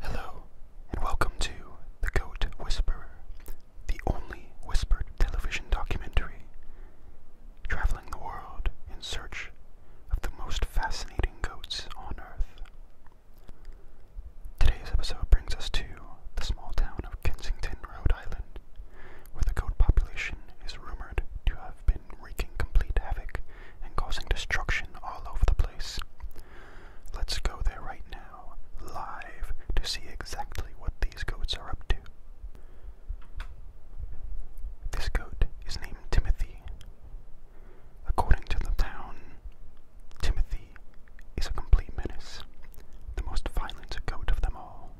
Hello, and welcome to The Goat Whisperer, the only whispered television documentary traveling the world in search of the most fascinating goats on Earth. Today's episode brings us to the small town of Kensington, Rhode Island, where the goat population is rumored to have been wreaking complete havoc and causing destruction all over the place. Let's go there right now, live, to see exactly what these goats are up to. This goat is named Timothy. According to the town, Timothy is a complete menace, the most violent goat of them all.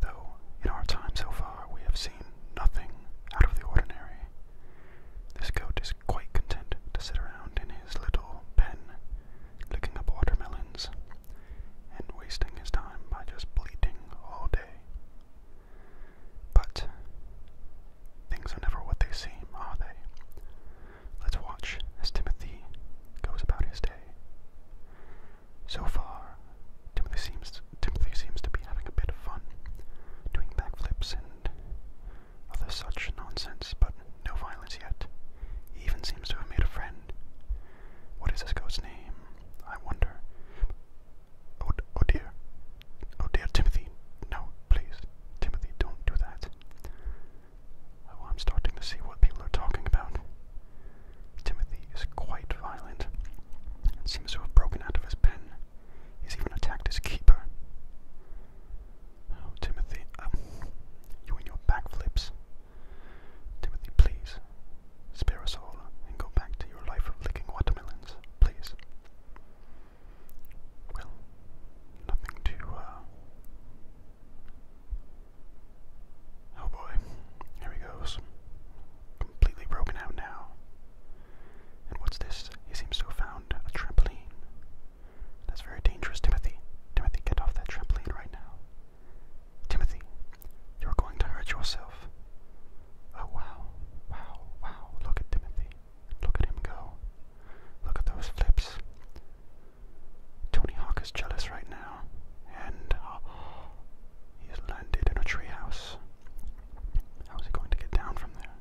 Though, in our time so far, we have seen nothing out of the ordinary. This goat is quite content to sit around in his little pen, licking up watermelons, and wasting his time by just bleating all day. But things are never what they seem, are they? Let's watch as Timothy goes about his day. So far, Timothy seems Timothy seems to be having a bit of fun doing backflips and other such nonsense, but no violence yet. He even seems to have made a friend. What is this ghost's name? I wonder. Oh, oh dear. Oh dear, Timothy. No, please. Timothy, don't do that. Oh, I'm starting to see what people are talking about. Timothy is quite violent and seems to have broken out of his pen. He's even attacked his keeper. Oh, Timothy, um, you and your backflips. Timothy, please, spare us all and go back to your life of licking watermelons, please. Well, nothing to, uh, Oh boy, here he goes completely broken out now. And what's this? He seems to have found a trampoline. That's very dangerous, Timothy. Timothy, get off that trampoline right now. Timothy, you're going to hurt yourself. Oh, wow. Wow, wow. Look at Timothy. Look at him go. Look at those flips. Tony Hawk is jealous right now. And. Oh, He's landed in a treehouse. How is he going to get down from there?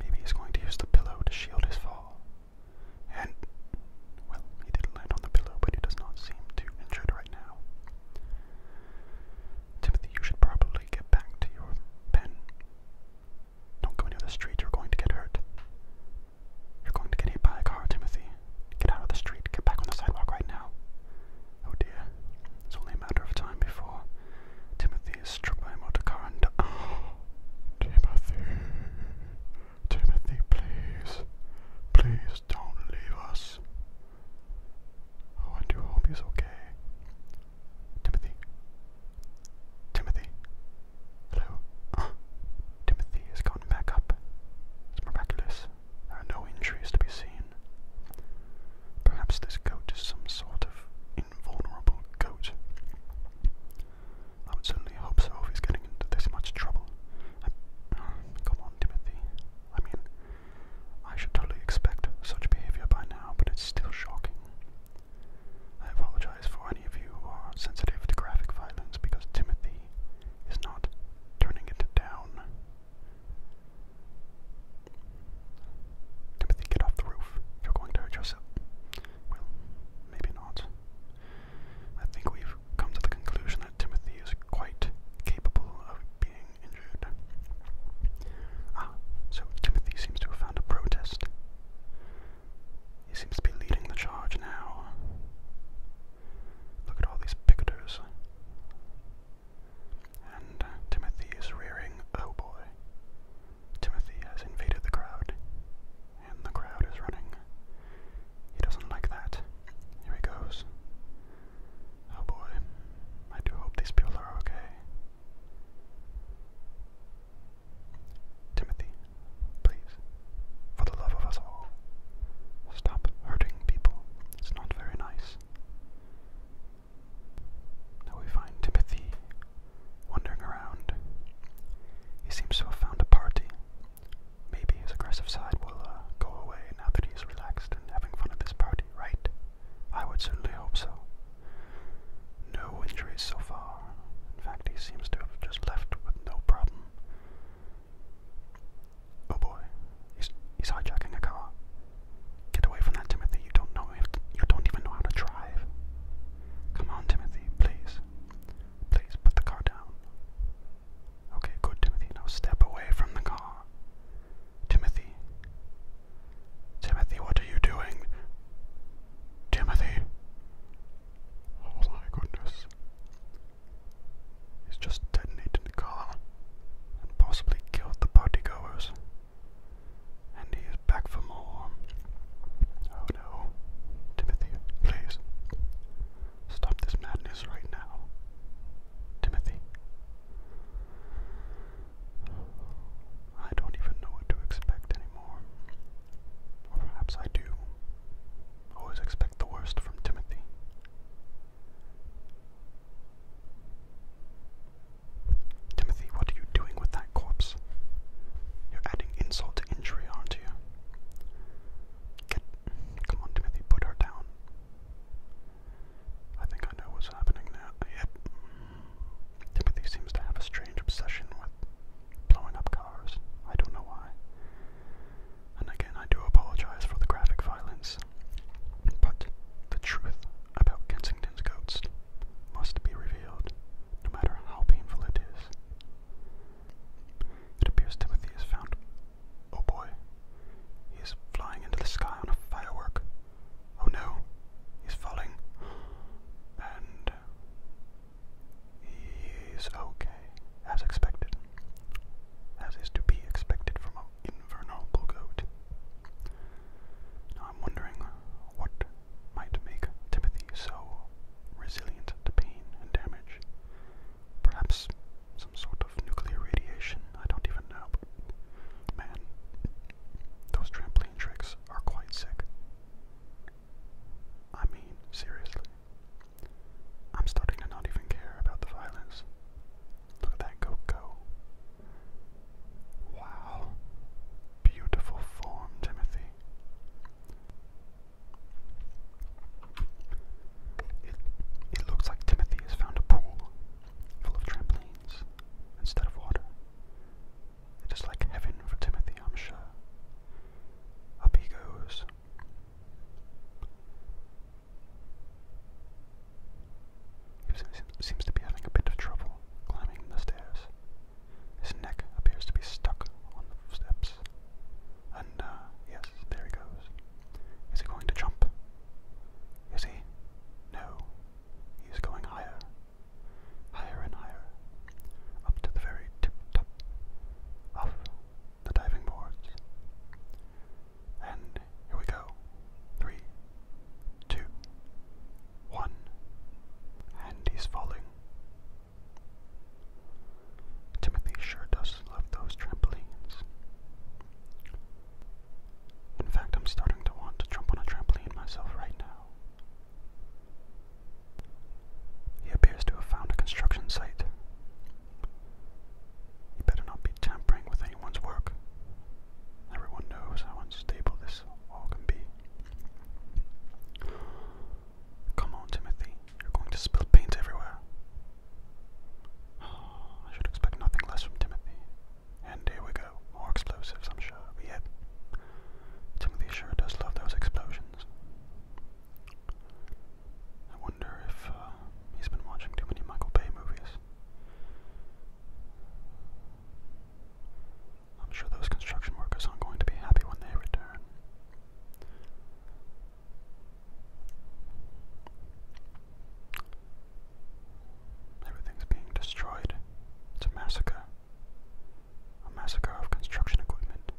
Maybe he's going to use the pillow to shield his fall. And, well, he did land on the pillow, but he does not seem too injured right now. Timothy, you should probably get back to your pen. Don't go near the street, you're going to get hurt. You're going to get hit by a car, Timothy. Get out of the street, get back on the sidewalk right now. Oh dear, it's only a matter of time before Timothy is struck by a motor car and. Timothy! Timothy, please! Please don't leave us! Oh, I do hope he's okay. Timothy? Timothy? Hello? Timothy has gotten back up. It's miraculous. There are no injuries to be seen. Perhaps this goat is some sort of invulnerable goat. I would certainly hope so if he's getting into this much trouble. I, come on, Timothy. I mean, I should totally expect such behavior by now, but it's still shocking. I apologize for any of you who are sensitive to graphic violence because Timothy is not turning it down. Timothy, get off the roof. You're going to hurt yourself. Well, maybe not. I think we've come to the conclusion that Timothy is quite capable of being injured. Ah, so Timothy seems to have found a protest. He seems to be leading the charge now. Look at all these picketers. And uh, Timothy is rearing, oh boy. Timothy has invaded the crowd, and the crowd is running. He doesn't like that. Here he goes. Oh boy, I do hope these people are okay. Timothy, please. For the love of us all, stop hurting people. It's not very nice. Now we find Timothy wandering around. He seems to have found a party. Maybe his aggressive side will uh, go away now that he's relaxed and having fun at this party, right? I would certainly hope so. No injuries so far. In fact, he seems to have just left with no problem. Oh boy, he's hijacking a car. Get away from that, Timothy. You don't know you don't even know how to drive. Come on, Timothy, please. Please put the car down. Okay, good, Timothy. Now step away from the car. Timothy. Timothy, what are you doing? Timothy. Oh my goodness. He's just detonated the car and possibly killed the partygoers. And he is back for more. Oh no. Timothy, please. Stop this madness right now. Timothy. I don't even know what to expect anymore. Or perhaps I do. Always expect the worst from Timothy. Timothy, what are you doing with that corpse? You're adding insult to injury, aren't you? Come on, Timothy, put her down. I think I know what's happening now. Yep. Timothy seems to have a strange obsession with blowing up cars. I don't know why and again I do apologise for the graphic violence, but the truth about Kensington's goats must be revealed, no matter how painful it is. It appears Timothy is found. Oh boy, he is flying into the sky on a firework. Oh no, he's falling. And He's okay, as expected, as is to be expected from an invulnerable goat. Now I'm wondering what might make Timothy so resilient to pain and damage. Perhaps some sort of nuclear radiation, I don't even know, man, those trampoline tricks are quite sick. I mean, seriously. I'm starting to not even care about the violence. Look at that go Wow. Beautiful form, Timothy. It, it looks like Timothy has found a pool full of trampolines instead of water. It is like heaven for Timothy, I'm sure. Up he goes, he seems to be having a bit of trouble climbing the stairs. His neck appears to be stuck on the steps. And, uh, yes, there he goes. Is he going to jump? Is he? No. He is going higher. Higher and higher up to the very tip top of the diving boards. And here we go. Three, two, one, and he's falling. Timothy sure does love those trampolines. In fact, I'm starting to want to jump on a trampoline myself right now. He appears to have found a construction site. You better not be tampering with anyone's work. Everyone knows how unstable this all can be. Come on, Timothy. You're going to spill paint everywhere. I should expect nothing less from Timothy. And here we go. More explosives, I'm sure. We hit. Timothy sure does love those explosions. I wonder if uh, he's been watching too many Michael Bay movies. I'm sure those construction workers aren't going to be happy when they return. Everything's being destroyed. It's a massacre a massacre of construction equipment.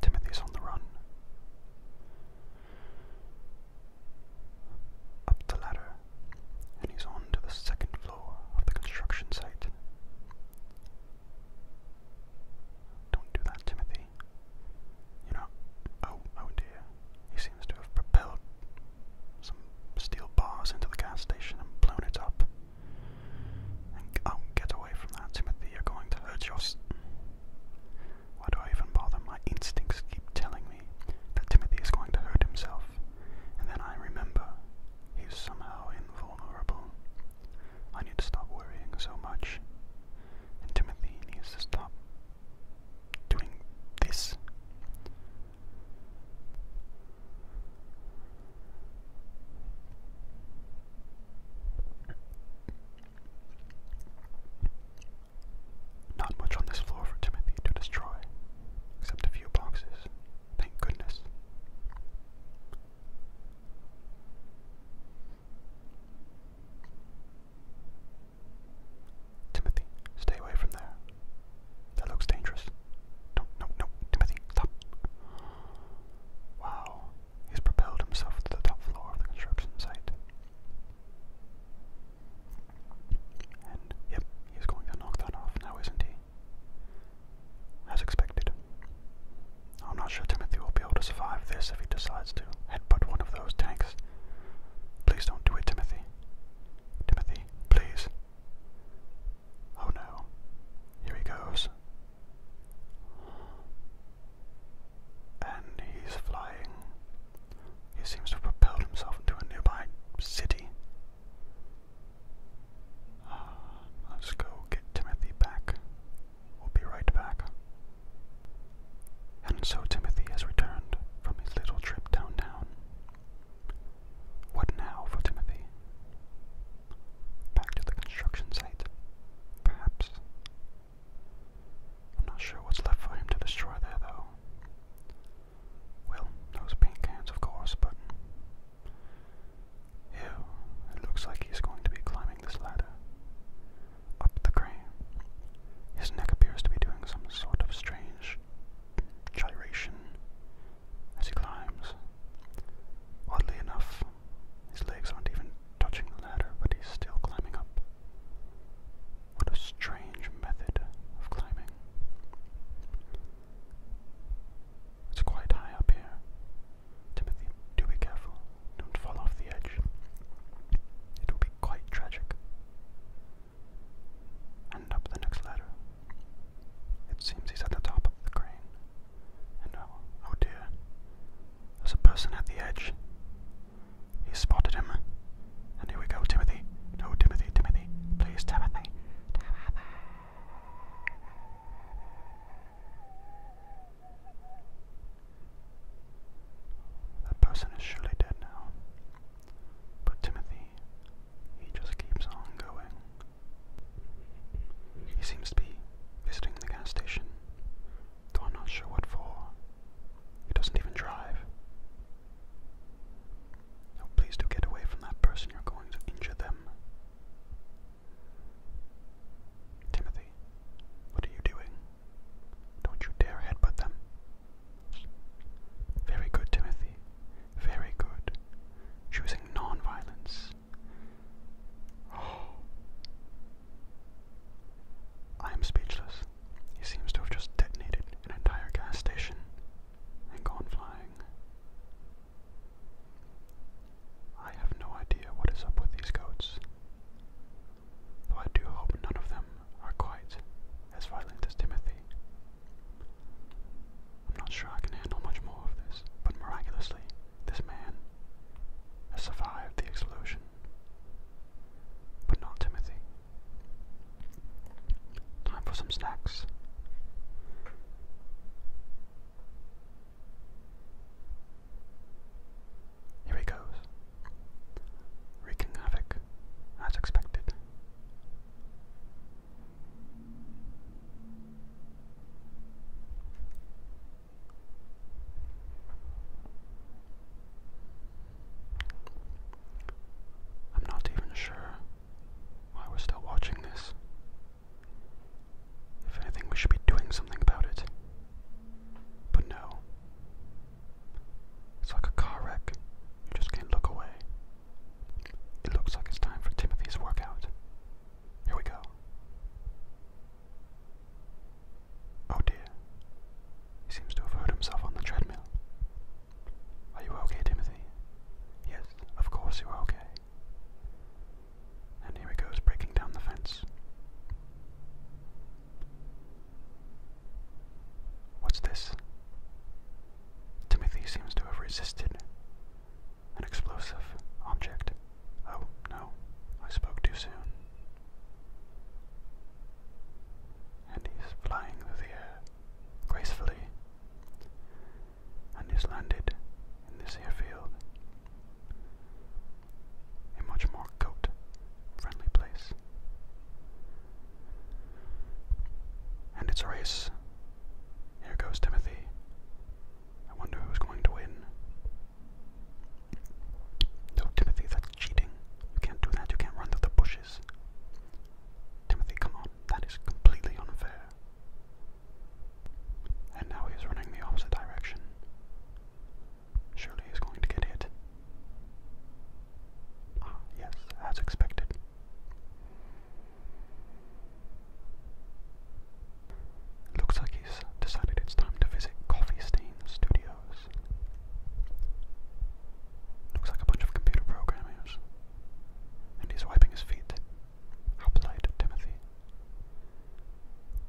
Timothy's on the run. Up the ladder, and he's on to the second floor of the construction site. Don't do that, Timothy. You know, oh, oh dear. He seems to have propelled some steel bars into the gas station and blown it up. And oh, get away from that, Timothy, you're going to hurt your. Why do I even bother? My instincts keep telling me that Timothy is going to hurt himself, and then I remember he's somehow invulnerable. I need to stop worrying so much, and Timothy needs to stop doing this. Not much on this floor for Timothy to destroy, except a few boxes, thank goodness. Timothy, stay away from there. That looks dangerous. No, no, no, Timothy, Wow, he's propelled himself to the top floor of the construction site. And, yep, he's going to knock that off now, isn't he? As expected. I'm not sure Timothy will be able to survive this if he decides to headbutt one of those tanks. Please don't do it, Timothy. Timothy, please. Oh no. Here he goes. And he's flying. He seems to have propelled himself into a nearby city. Ah, let's go get Timothy back. We'll be right back. And so Timothy has returned from his little trip downtown. What now for Timothy? Back to the construction site, perhaps. I'm not sure what's left for him to destroy there, though. Well, those paint cans, of course, but. Ew, it looks like he's going to be climbing this ladder. Up the crane. His neck appears to be doing some sort of strange gyration as he climbs. Oddly enough, his legs aren't even touching the ladder, but he's still climbing up. What a strange method of climbing. It's quite high up here. Timothy, do be careful. Don't fall off the edge. It will be quite tragic and up the next ladder. It seems he's at the top of the crane. And oh, oh, dear, there's a person at the edge. He spotted him. And here we go, Timothy. No, Timothy, Timothy. Please, Timothy. Timothy. person is surely dead now. But Timothy he just keeps on going. He seems to be visiting the gas station, though i not sure what for. He doesn't even drive. Oh, please do get away from that person. You're going to injure them. Timothy, what are you doing? Don't you dare headbutt them. Very good, Timothy. Very good. Choosing non-violence. Oh. I am speechless. He seems to have just detonated an entire gas station and gone flying. I have no idea what is up with these goats, though I do hope none of them are quite as violent as Timothy. I'm not sure I can handle much more of this, but miraculously, this man has survived the explosion. But not Timothy. Time for some snacks. Here he goes, wreaking havoc as expected. I'm not even sure why we're still watching this. If anything, we should be doing something about it. But no. It's like a car wreck. You just can't look away. It looks like it's time for Timothy's workout. Here we go. Oh dear. He seems to have hurt himself on the treadmill. Are you okay, Timothy? Yes, of course you're okay. And here he goes, breaking down the fence. What's this? Timothy seems to have resisted. An explosive object. Oh, no, I spoke too soon. And he's flying through the air gracefully. And he's landed in this airfield. A much more goat friendly place. And it's a race. Here goes Timothy. I wonder who's going to win. No, Timothy, that's cheating. You can't do that. You can't run through the bushes. Timothy, come on. That is completely unfair. And now he's is running the opposite direction. Surely he's going to get hit. Ah, yes, as expected. Looks like he's decided it's time to visit Coffee Stain Studios. Looks like a bunch of computer programmers. And he's wiping his feet. How polite, Timothy.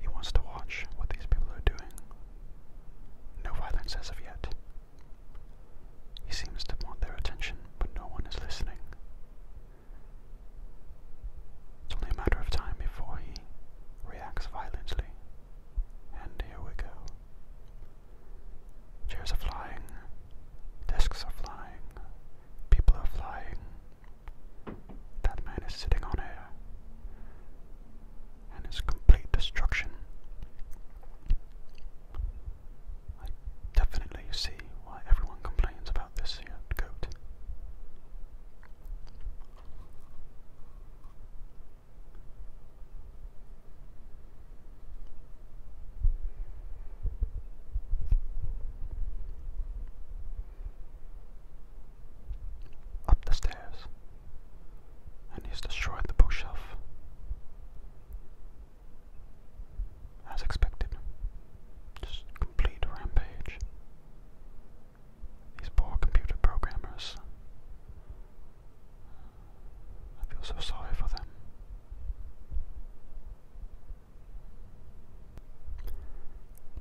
He wants to watch what these people are doing no violence as of yet. He seems to want their attention, but no one is listening. It's only a matter of time before he reacts violently. And here we go. Chairs are flying, desks are flying, people are flying. That man is sitting on air and its complete destruction. I definitely see why everyone complains about this here up the stairs, and he's destroyed the bookshelf. As expected. Just complete rampage. These poor computer programmers. I feel so sorry for them.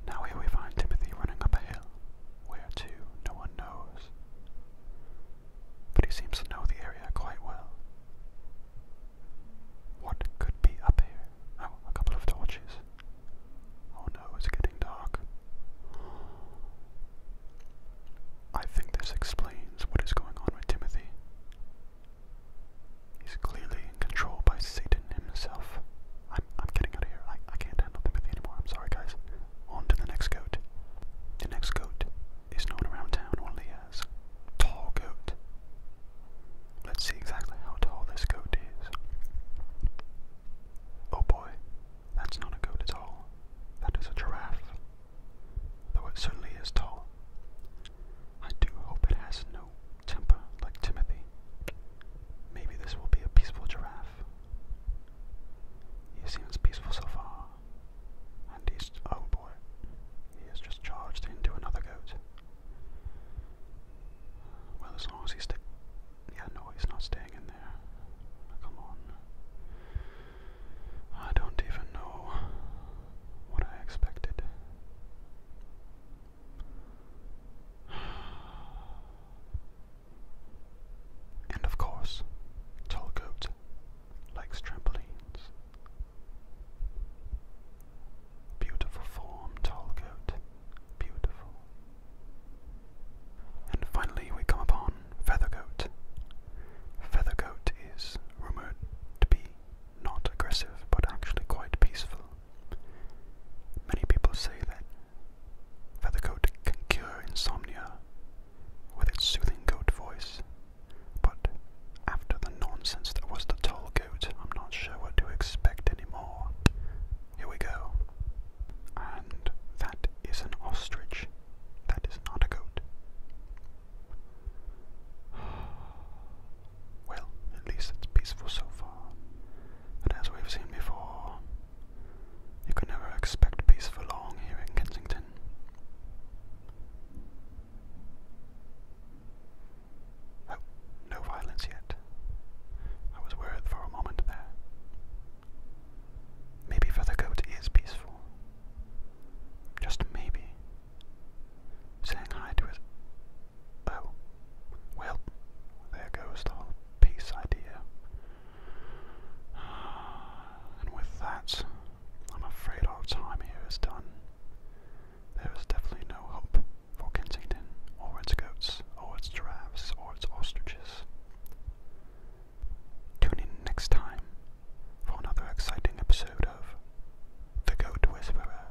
Now here we find Timothy running up a hill, where to, no one knows. But he seems to know the area quite well. What could be up here? Oh, a couple of torches. Oh no, it's getting dark. I think this explains what is going on with Timothy. He's clearly in by Satan himself. I'm, I'm getting out of here. I, I can't handle Timothy anymore. I'm sorry, guys. On to the next goat. The next goat is known around town only as Tall Goat. Let's see exactly how tall this goat is. Oh boy, that's not a goat at all. That is a giraffe. Though it certainly is tall. I do hope it has no temper like Timothy. Maybe this will be a peaceful giraffe he seems peaceful so far. And he's. oh boy. He has just charged into another goat. Well, as long as he stays. Yeah, no, he's not staying in there. Come on. I don't even know what I expected. And of course, tall Tallgoat likes trampolines. Beautiful form, Tallgoat, beautiful. And finally we come upon Feathergoat. Feathergoat is rumoured to be not aggressive but actually quite peaceful. Many people say that feathercoat can cure insomnia with its soothing goat voice, but after the nonsense that was the tall goat, I'm not sure what to expect anymore. Here we go. And that is an ostrich. That is not a goat. Well, at least it's peaceful so far and as we've seen before, you can never expect peace for long here in Kensington. Oh, no violence yet. I was worried for a moment there. Maybe Feathercoat is peaceful. Just maybe. Saying hi to his. Oh, well, there goes the whole peace idea. And with that, I'm afraid our time here is done. There is definitely no hope for Kensington, or its goats, or its giraffes, or its ostriches. Tune in next time for another exciting episode of The Goat Whisperer.